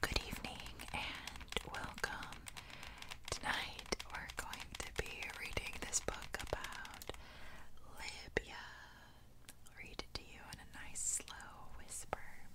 Good evening and welcome. Tonight we're going to be reading this book about Libya. read it to you in a nice slow whisper.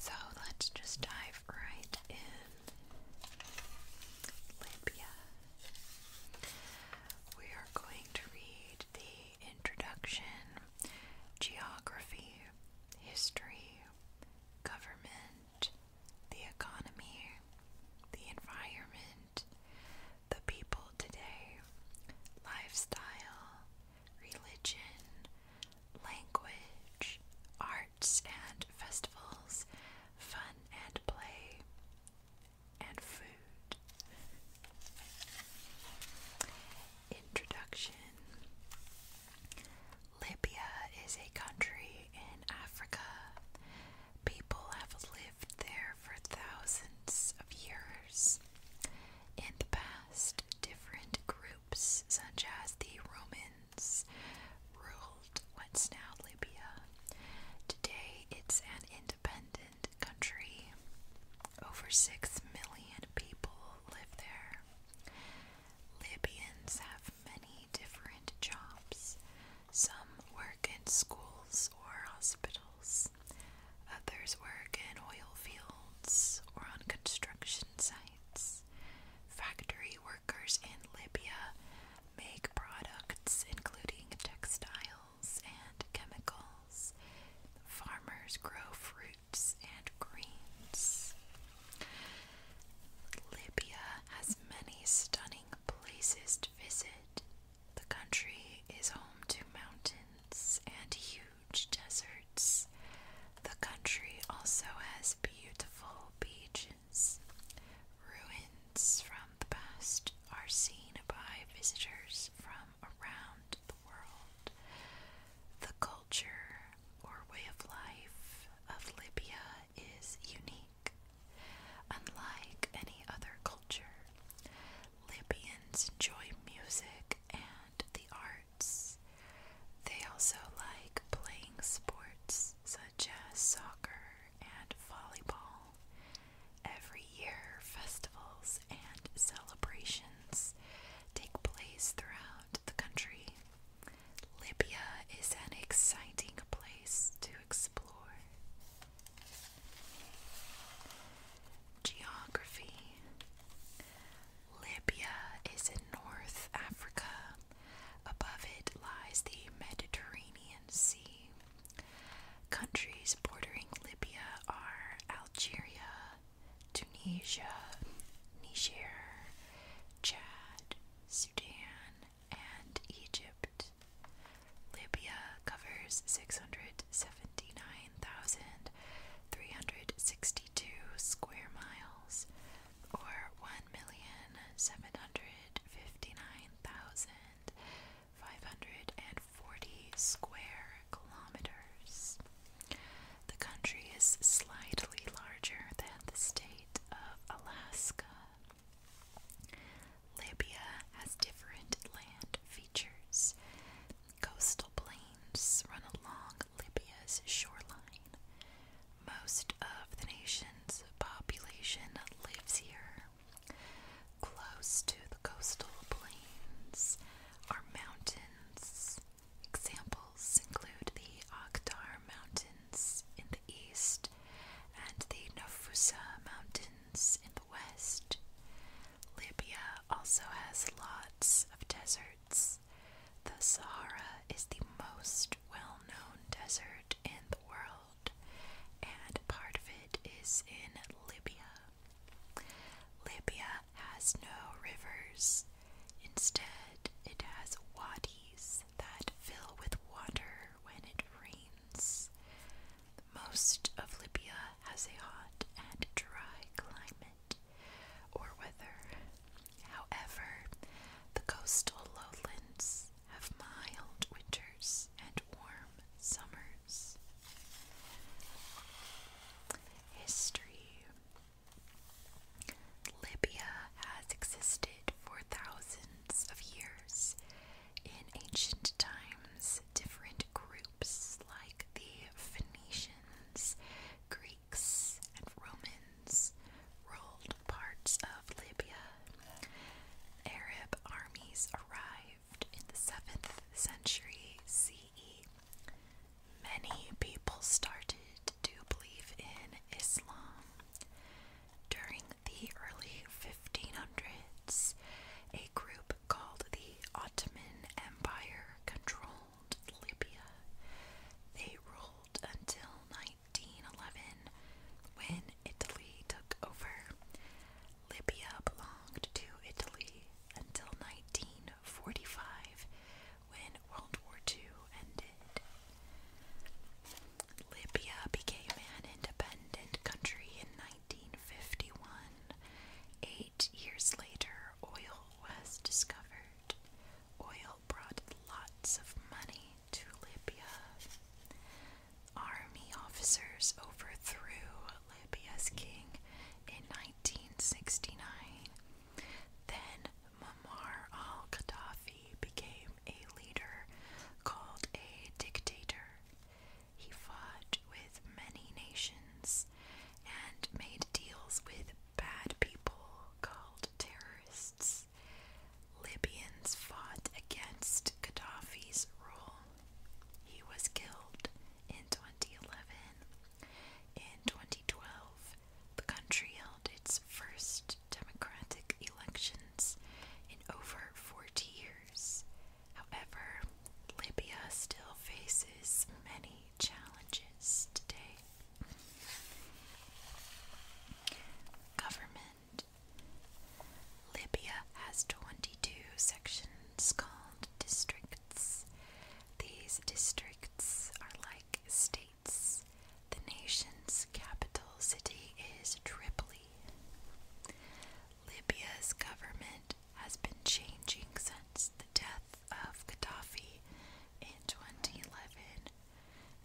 So let's just dive right in. Libya. We are going to read the introduction, geography, history, government, the economy, the environment, the people today, lifestyle, religion, language, arts and festivals, fun and play and food. Introduction Libya is a country in Africa. People have lived there for thousands of years. In the past, different groups, such as the Romans ruled what's now Libya. Today it's an independent country. Over 6 million people live there. Libyans have many different jobs. Some work in schools or hospitals. Others work in oil fields or on construction sites. Factory workers in Libya make products including textiles and chemicals. Farmers grow fruits and greens. Libya has many stunning places to visit. The country is home to mountains and huge deserts. The country also has beautiful beaches. Ruins from the past are seen by visitors from around the world. The culture or way of life of Libya is unique. Unlike any other culture, Libyans enjoy music and the arts. They also like playing sports such as soccer and volleyball. Every year, festivals and celebrations take place throughout the country. Libya is an exciting place to explore. Geography Libya is in North Africa Above it lies the Mediterranean Sea. Countries bordering Libya are Algeria, Tunisia, Niger, Chad, Sudan, and Egypt. Libya covers 679,362 square miles, or one ten million seven hundred fifty nine thousand five hundred and forty square kilometers. The country is slightly larger than the state of Alaska. Libya has different land features. Coastal plains run along Libya's shoreline. Most of the nation's population lives here. Close to the coastal plains are mountains. Examples include the Akhtar Mountains in the east and the Nafusa Mountains in the west. Libya also has lots of deserts. The Sahara is the most well known desert in the world, and part of it is in Libya. Libya has no rivers, instead, it has wadis that fill with water when it rains. Most of Libya has a hot and dry climate or weather. However, the coastal lowlands have mild winters and warm summers. History Libya has existed for thousands of years. In ancient times, different groups like the Phoenicians, Greeks, and Romans ruled parts of Libya. Arab armies arrived in the 7th century CE. Many people started to believe in Islam. During the early 1500s, a group called the Ottoman Empire controlled Libya. They ruled until 1911 when Italy took over. Libya belonged to Italy until 1945 when World War II ended. Libya became an independent country in 1951. Eight years later, oil was discovered. Oil brought lots of money to Libya. Army officers overthrew Libya's king in 1969. Then Muammar al Gaddafi became a leader called a dictator. He fought with many nations and made deals with bad people called terrorists. Libyans fought against Gaddafi's rule. He was killed in 2011. In 2012, the country held its first democratic elections in over 40 years. However, Libya still faces many challenges today. Government Libya has 22 sections called districts. These districts are like states. The nation's capital city is Tripoli. Libya's government has been changing since the death of Gaddafi in 2011,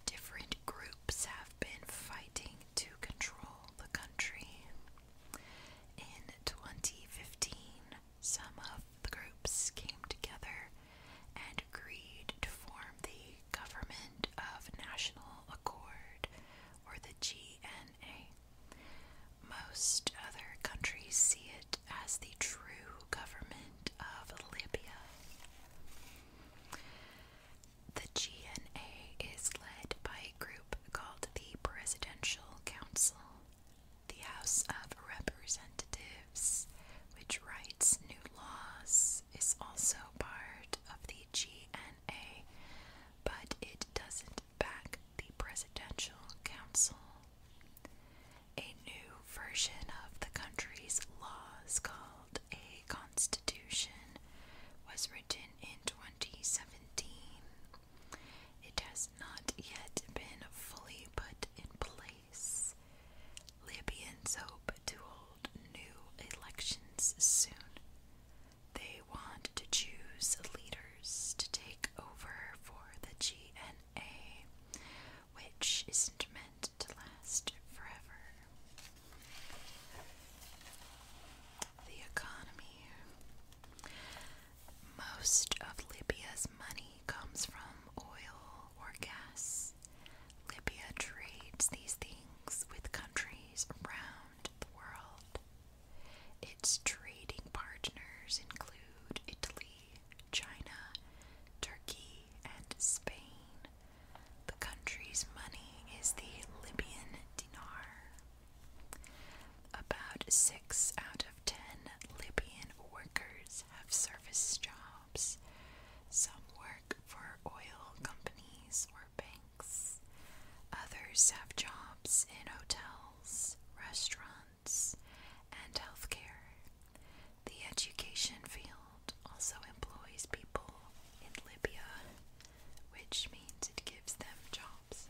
different groups have been fighting to control the country. In 2015, some of the groups came together and agreed to form the Government of National Accord, or the GNA. Most other countries see it as the true government of Libya. The GNA is led by a group called the Presidential Council, the House of Representatives, which writes new laws, is also part of the GNA, but it doesn't back the Presidential Council. A new version of the country's laws, called a constitution, was written in 2017. It has not yet been fully put in place. Libyans hope to hold new elections soon. They want to choose leaders to take over for the GNA a which isn't meant to last forever. The economy. Most of Libya's money comes from oil or gas. Libya trades these things with countries around the world. Its trading partners include Italy, China, Turkey, and Spain. The country's money is the Libyan dinar. About six out of ten Libyan workers have service jobs. Some work for oil companies or banks. Others have jobs in hotels, restaurants and healthcare. The education field also employs people in Libya, which means it gives them jobs.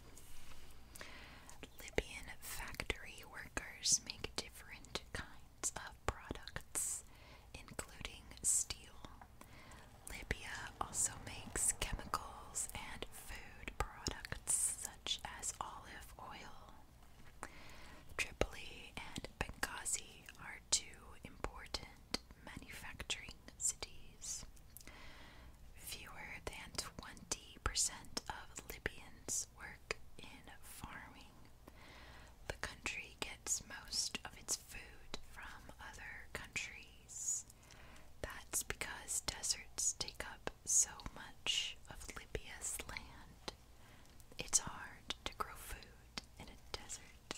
Libyan factory workers make different kinds of products, including steel. Libya also makes chemicals and food products such as olive oil. Tripoli and Benghazi are two important manufacturing cities. Fewer than 20% of Libyans work in farming. The country gets most of its food from other countries. That's because deserts take up so much of Libya's land, it's hard to grow food in a desert.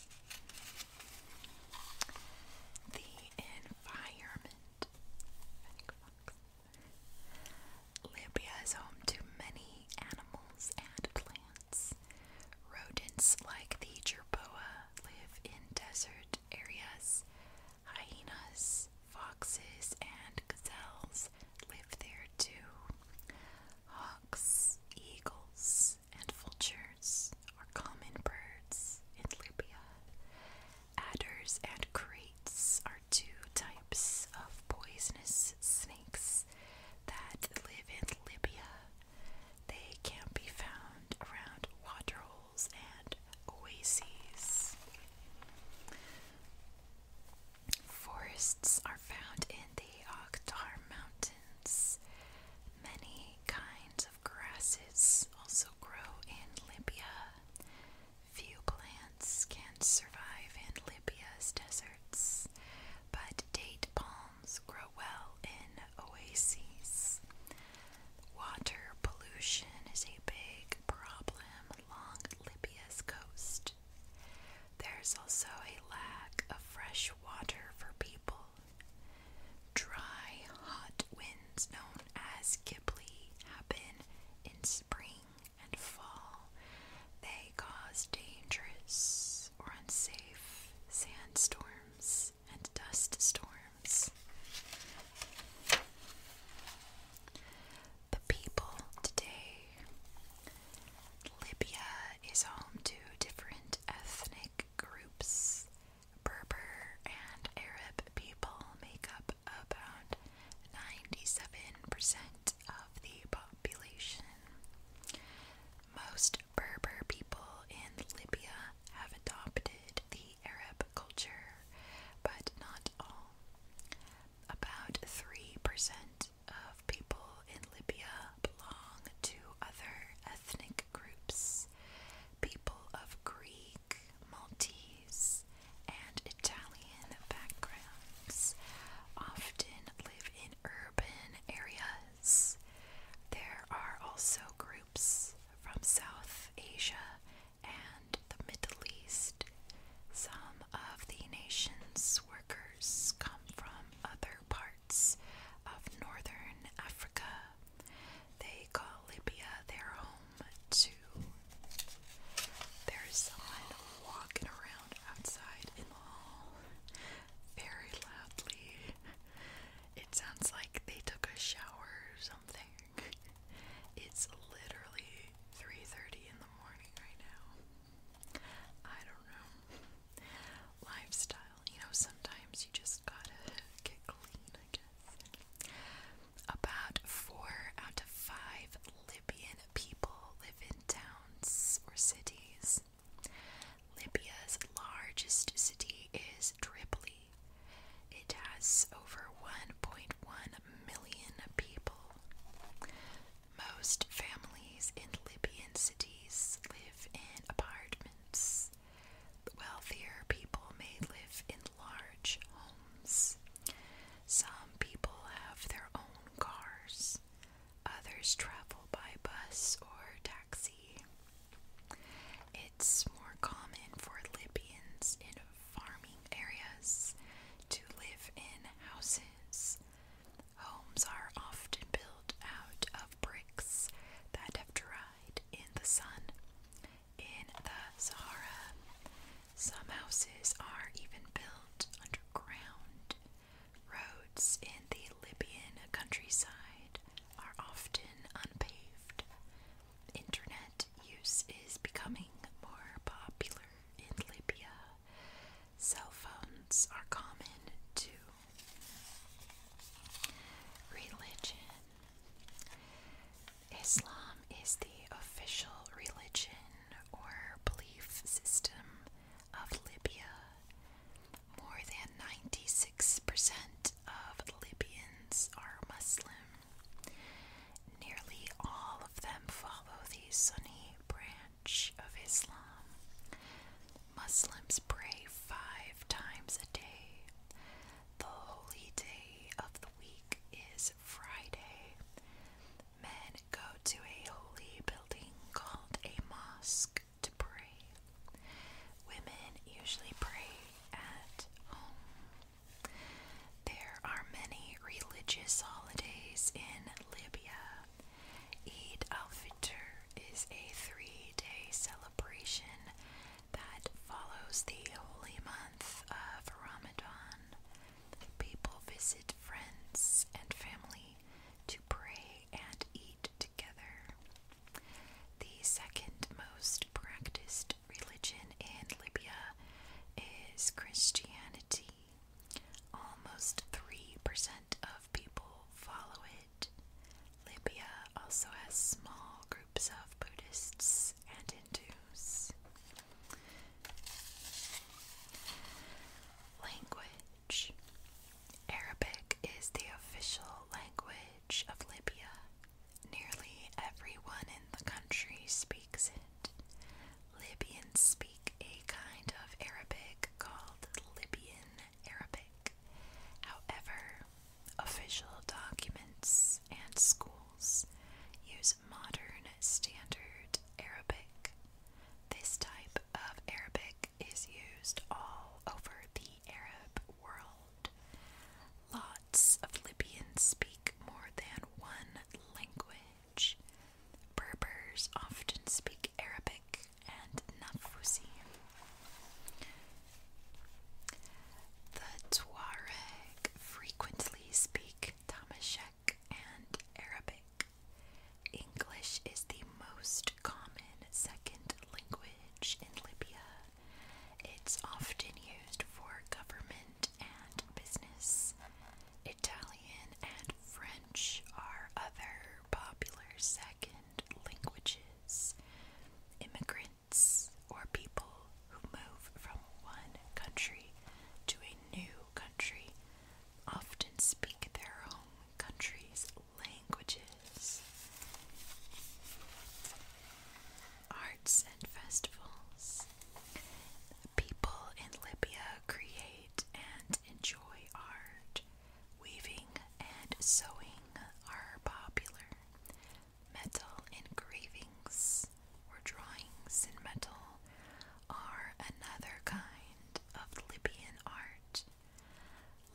The environment. Libya is home to many animals and plants. Rodents like the jerboa live in desert areas Hyenas, foxes, and gazelles live there too. Hawks, eagles, and vultures are common birds in Libya. Adders and crates are two types of poisonous snakes that live in Libya. They can be found around waterholes oases. Forests are found in the Akhtar Mountains. Many kinds of grasses also grow in Libya. Few plants can survive in Libya's deserts, but date palms grow well in oases. Water pollution is a big problem along Libya's coast. There's also a lack of fresh water for people. Dry, hot winds known as Ghibli happen in spring and fall. They cause dangerous or unsafe sandstorms and dust storms. The people today. Libya is home to different ethnic groups. Berber and Arab people make up about 97% of the population. Most Berber people in Libya have adopted the Arab culture, but not all. About 3% of people in Libya belong to other ethnic groups. People of Greek, Maltese, and Italian backgrounds often live in urban areas. There are also groups from South Asia and the Middle East. Some of the nation's workers come from other parts of northern Africa. They call Libya their home, too. There's someone walking around outside in the hall very loudly. It sounds like they took a shower or something. It's literally 3:30 in the morning right now. I don't know. Lifestyle, you know, sometimes you just gotta get clean, I guess. About four out of five Libyan people live in towns or cities. Libya's largest city is Tripoli, it has over 1.1 million people. Most families in Libyan cities live in apartments. Wealthier people may live in large homes. Some people have their own cars. Others travel by bus or taxi. It's more common for Libyans in farming areas to live in houses. Homes are often built out of bricks that have dried in the sun. In the Sahara, some houses are even built underground. Roads in the Libyan countryside are often unpaved, Internet use is becoming more popular in Libya. Cell phones are common too. Religion Islam is the official religion or belief system of Libya. More than 96% of Libyans are Muslim. Nearly all of them follow the Sunni branch of Islam. Muslims pray five times a day. The holy day of the week is Friday. Men go to a holy building called a mosque to pray. Women usually pray at home. There are many religious holidays in Libya. Eid al Fitr is a three day celebration that follows the holy month of Ramadan. People visit friends and family to pray and eat together. The second most practiced religion in Libya is Christianity. Almost 3% of people follow it. Libya also has small groups of Buddhists and Hindus. Language Arabic is the official language of Libya. Nearly everyone in the country speaks it. Libyans speak a kind of Arabic called Libyan Arabic. However, official documents and schools use modern standard Arabic. This type of Arabic is used all over the Arab world. Lots of Libyans speak more than one language. Berbers often speak Arabic and Nafusi. The Tuareg frequently speak Tamashek and Arabic. English is the most common second language in Libya. It's often used for government and business. Italian and French are other popular second languages. Immigrants or people who move from one country to a new country often speak their own country's languages, arts and festivals. People in Libya create and enjoy art. Weaving and sewing are popular. Metal engravings or drawings in metal are another kind of Libyan art.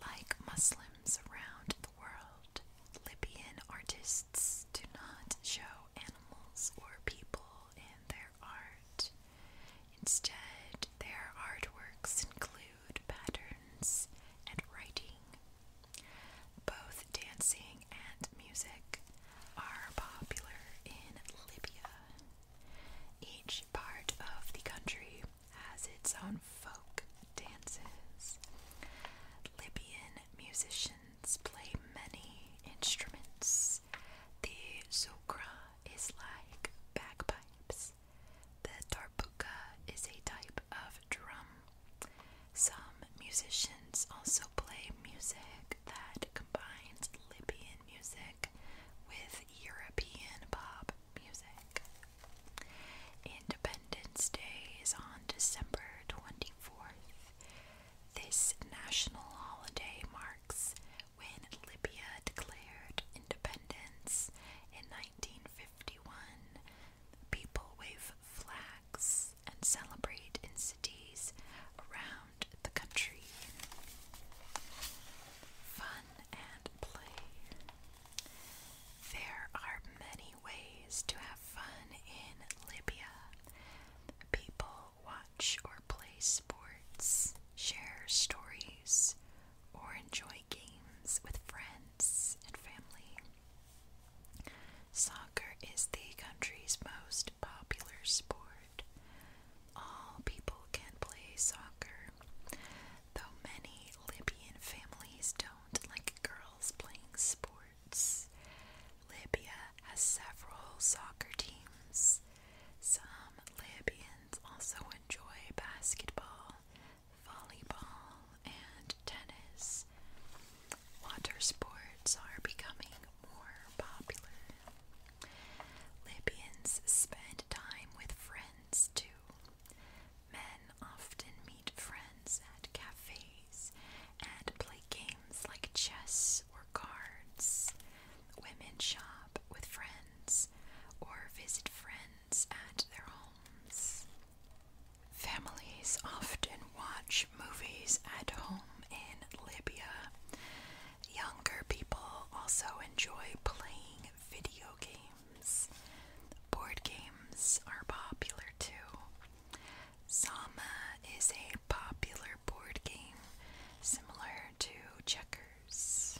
Like Muslims around the world, Libyan artists do not show animals or people in their art. Instead, their artworks include patterns and writing. Both dancing and music are popular in Libya. Each part of the country has its own folk dances. Libyan musicians play many instruments. The zukra is like bagpipes. The tarbuka is a type of drum. Some musicians also play music that combines Libyan music with European pop music. Independence Day is on December 24th. This national holiday marks when Libya declared independence in 1951. People wave flags and celebrate in cities around the country. Fun and play. There are many ways to have fun in Libya. People watch or play sports, share stories, or enjoy games with friends and family. Soccer is the country's most popular sport. All people can play soccer. Though many Libyan families don't like girls playing sports, Libya has several soccer teams. Some Libyans also enjoy basketball, volleyball, and tennis. Water sports are becoming more popular. Libyans spend time with friends too. Men often meet friends at cafes and play games like chess or cards. Women shop with friends or visit friends at their homes. Families often watch movies at home in Libya. Younger people also enjoy playing video games. Board games are popular too. Sama is a popular board game similar to checkers.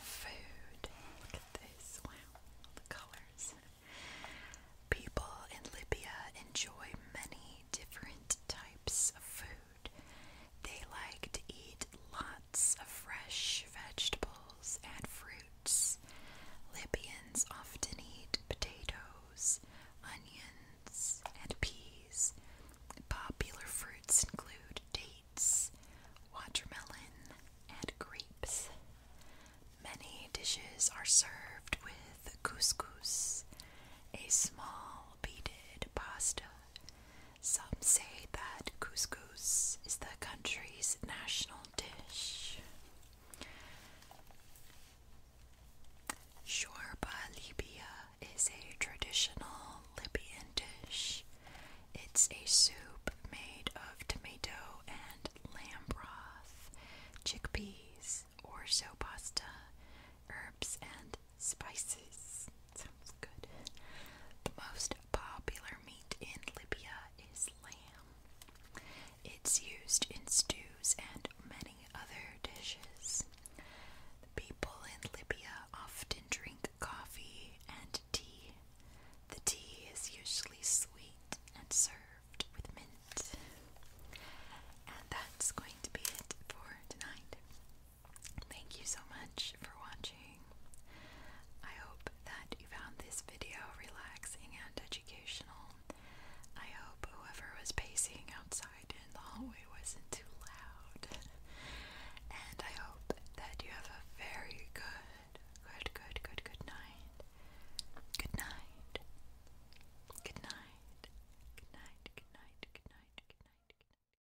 Food. Look at this. Wow, the colors. People in Libya enjoy many different types of food. They like to eat lots of fresh vegetables and fruits. Libyans often eat potatoes, onions, and peas. Popular fruits include dates, watermelon, and grapes. Many dishes are served with couscous, a small beaded pasta some say that couscous is the country's national dish. Shorba Libya is a traditional Libyan dish. It's a soup made of tomato and lamb broth, chickpeas, orzo pasta, herbs, and spices. Sounds good. The most popular meat in Libya is lamb. It's used in stews and many other dishes. people in Libya often drink coffee and tea. The tea is usually sweet and served with mint. And that's going to be it for tonight. Thank you so much for watching. I hope that you found this video relaxing and educational. I hope whoever was pacing outside in the hallway wasn't too loud. and I hope that you have a very good, good, good, good, good night. Good night. Good night. Good night. Good night. Good night. Good night. Good night.